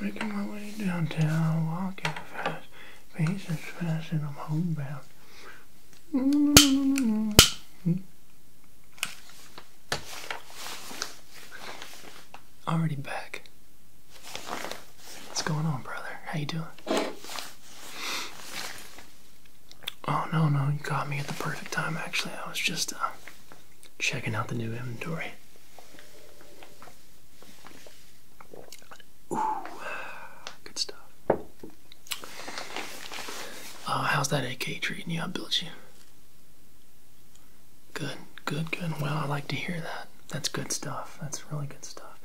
Making my way downtown, walking fast, pace is fast, and I'm homebound. Already back. What's going on, brother? How you doing? Oh no, no, you caught me at the perfect time. Actually, I was just uh, checking out the new inventory. Ooh, good stuff. Uh, how's that AK treating you? I built you. Good, good, good. Well, I like to hear that. That's good stuff. That's really good stuff.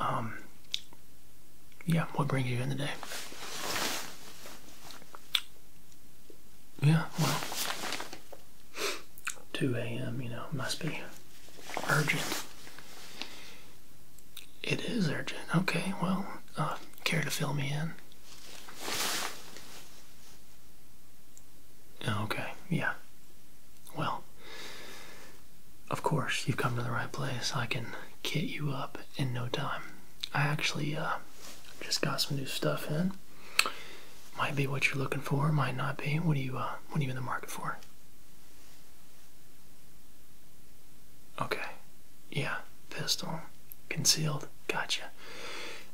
Um, yeah, what brings you in today? Yeah, well, 2 a.m., you know, must be urgent. It is urgent. Okay, well, uh, care to fill me in? Oh, okay, yeah. Well, of course, you've come to the right place. I can kit you up in no time. I actually uh, just got some new stuff in. Might be what you're looking for, might not be. What are you uh, what are you in the market for? Okay. Yeah, pistol. Concealed. Gotcha.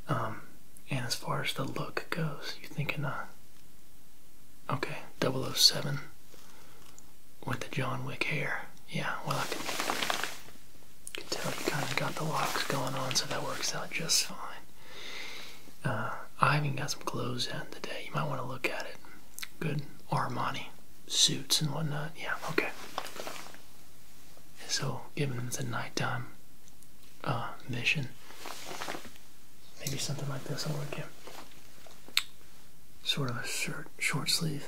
Um and as far as the look goes, you thinking a? Uh, okay, 007 with the John Wick hair. Yeah, well I can tell you kinda got the locks going on so that works out just fine. Uh, I even got some clothes out today. You might want to look at it. Good Armani suits and whatnot. Yeah, okay. So, given it's a nighttime mission, uh, maybe something like this will work out. Sort of a shirt, short sleeve.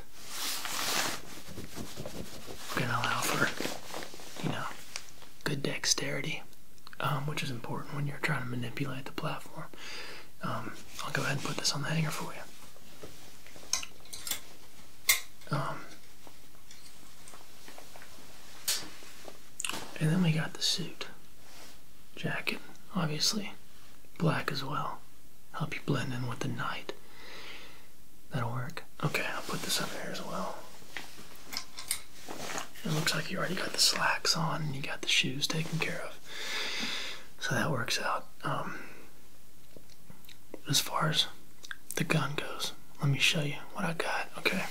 We're gonna allow for, you know, good dexterity um, which is important when you're trying to manipulate the platform. Um, I'll go ahead and put this on the hanger for you. Um, and then we got the suit jacket, obviously, black as well. Help you blend in with the night. That'll work. Okay, I'll put this up here as well. It looks like you already got the slacks on and you got the shoes taken care of. So that works out. Um, as far as the gun goes, let me show you what I got. Okay.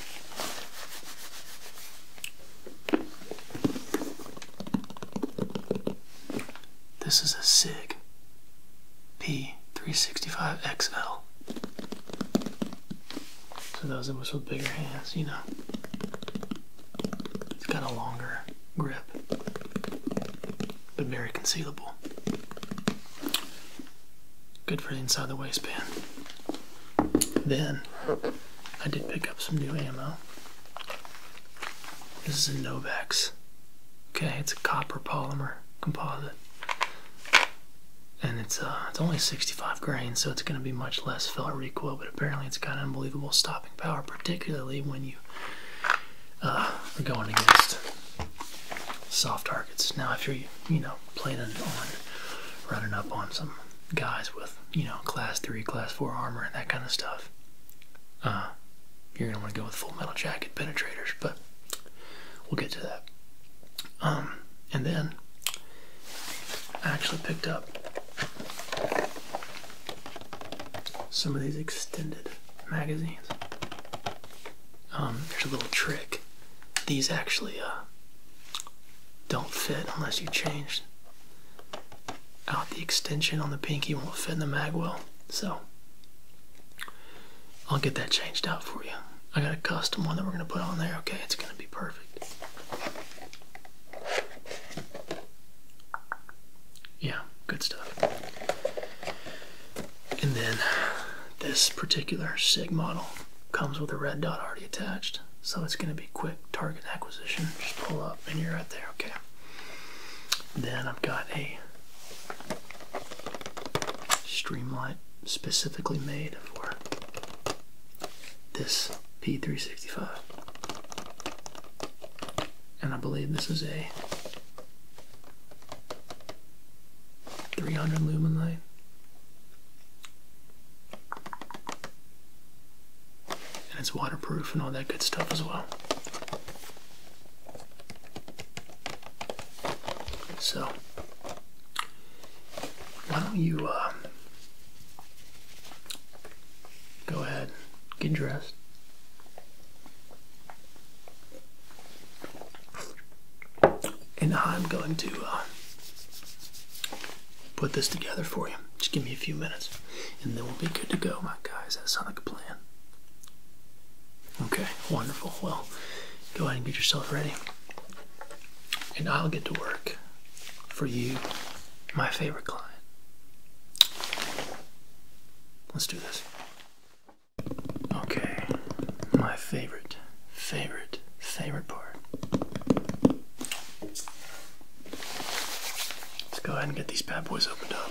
This is a SIG P365XL. So those of us with bigger hands, you know, it's got a longer grip, but very concealable. Good for the inside the waistband. Then I did pick up some new ammo. This is a Novex. Okay, it's a copper polymer composite and it's uh, it's only 65 grains, so it's going to be much less felt recoil. but apparently it's got unbelievable stopping power, particularly when you uh, are going against soft targets. Now, if you're you know planning on running up on some guys with you know class three, class four armor and that kind of stuff, uh, you're going to want to go with full metal jacket penetrators, but we'll get to that. Um, and then I actually picked up some of these extended magazines. Um, there's a little trick. These actually uh, don't fit unless you change out the extension on the pinky won't fit in the mag well. So I'll get that changed out for you. I got a custom one that we're gonna put on there, okay? It's gonna be perfect. Yeah, good stuff. And then this particular SIG model comes with a red dot already attached. So it's gonna be quick target acquisition. Just pull up and you're right there, okay? Then I've got a Streamlight specifically made for this P365. And I believe this is a 300 lumen light. And it's waterproof and all that good stuff as well. So, why don't you um, go ahead, get dressed. And I'm going to uh, put this together for you. Just give me a few minutes and then we'll be good to go, my guys. That sounds like a plan. Okay, wonderful. Well, go ahead and get yourself ready and I'll get to work for you, my favorite client. Let's do this. Okay, my favorite, favorite, favorite part. Let's go ahead and get these bad boys opened up.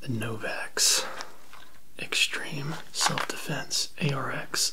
The Novax Extreme Self Defense ARX.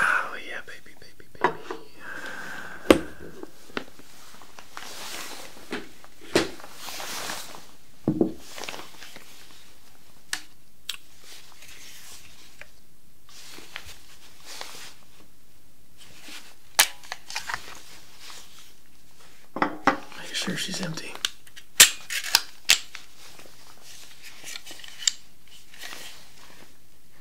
Oh, yeah, baby, baby, baby. Make sure she's empty.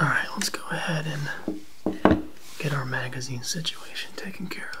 All right, let's go ahead and get our magazine situation taken care of.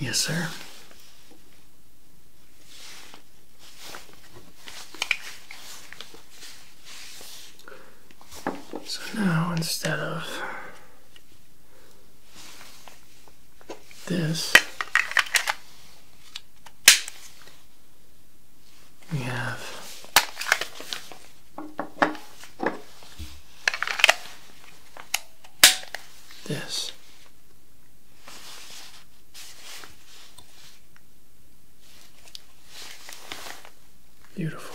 Yes, sir. So now instead of this, we have this. Beautiful.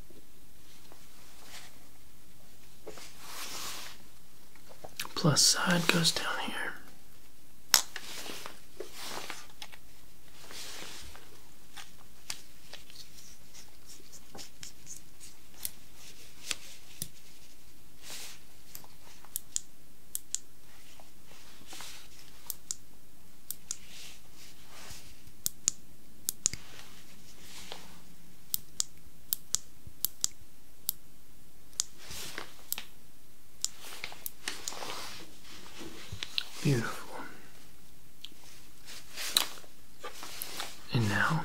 Plus side goes down here. Beautiful. And now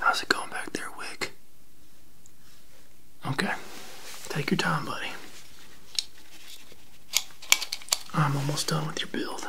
How's it going back there, Wick? Okay. Take your time, buddy. I'm almost done with your build.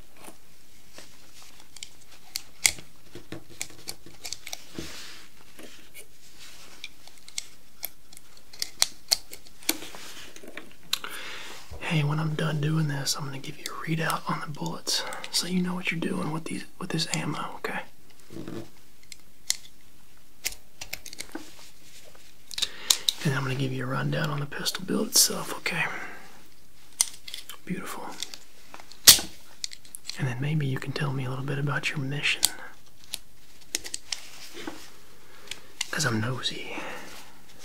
Hey, when I'm done doing this, I'm gonna give you a readout on the bullets so you know what you're doing with these with this ammo, okay? And I'm gonna give you a rundown on the pistol build itself, okay? Beautiful. And then maybe you can tell me a little bit about your mission. Because I'm nosy.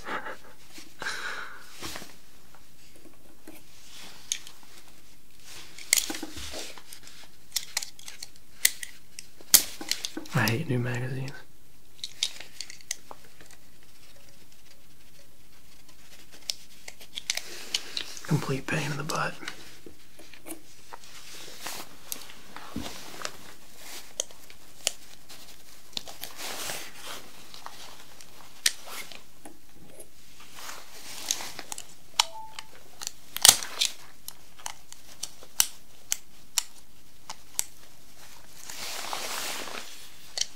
I hate new magazines. Complete pain in the butt.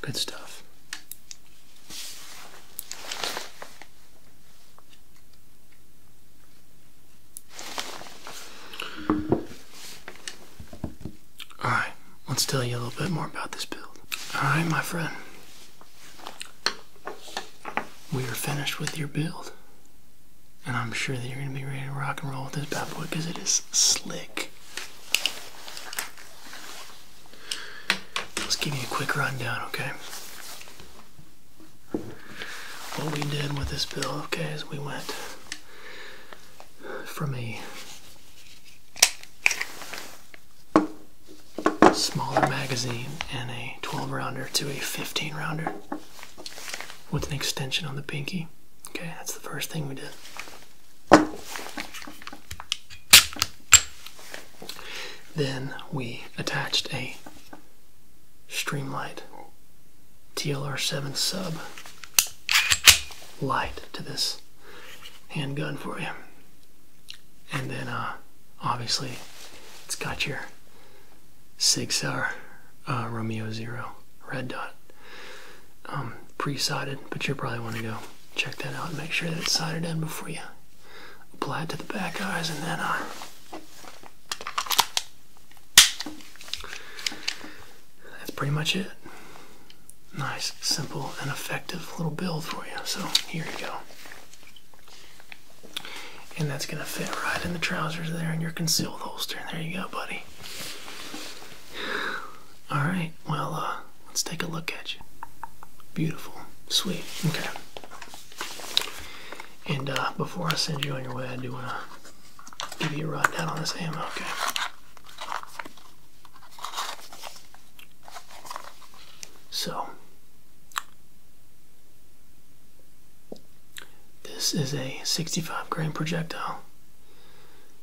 Good stuff. Alright, let's tell you a little bit more about this build. Alright, my friend. We are finished with your build. And I'm sure that you're going to be ready to rock and roll with this bad boy because it is slick. Let's give you a quick rundown, okay? What we did with this bill, okay, is we went from a smaller magazine and a 12 rounder to a 15 rounder with an extension on the pinky. Okay, that's the first thing we did. Then we attached a Streamlight TLR7 sub light to this handgun for you. And then uh, obviously it's got your six hour uh, Romeo Zero red dot um, pre-sided, but you'll probably want to go check that out and make sure that it's sided in before you apply it to the back eyes and then That's pretty much it. Nice, simple, and effective little build for you. So here you go and that's gonna fit right in the trousers there in your concealed holster. There you go, buddy. All right, well, uh, let's take a look at you. Beautiful, sweet. Okay. And uh, before I send you on your way, I do wanna give you a rundown on this ammo. Okay. So, this is a 65 grain projectile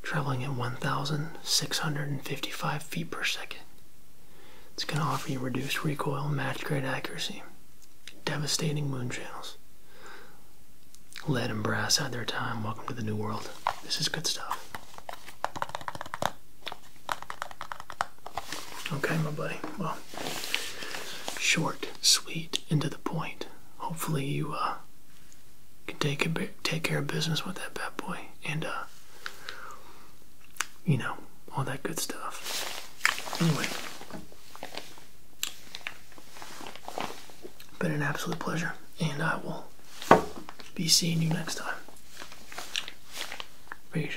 traveling at 1,655 feet per second. It's going to offer you reduced recoil, match grade accuracy, devastating moon channels. Lead and brass had their time. Welcome to the new world. This is good stuff. Okay, my buddy. Well, short, sweet, and to the point. Hopefully, you uh, can take care of business with that bad boy, and uh, you know all that good stuff. Anyway, been an absolute pleasure, and I will be seeing you next time. Peace.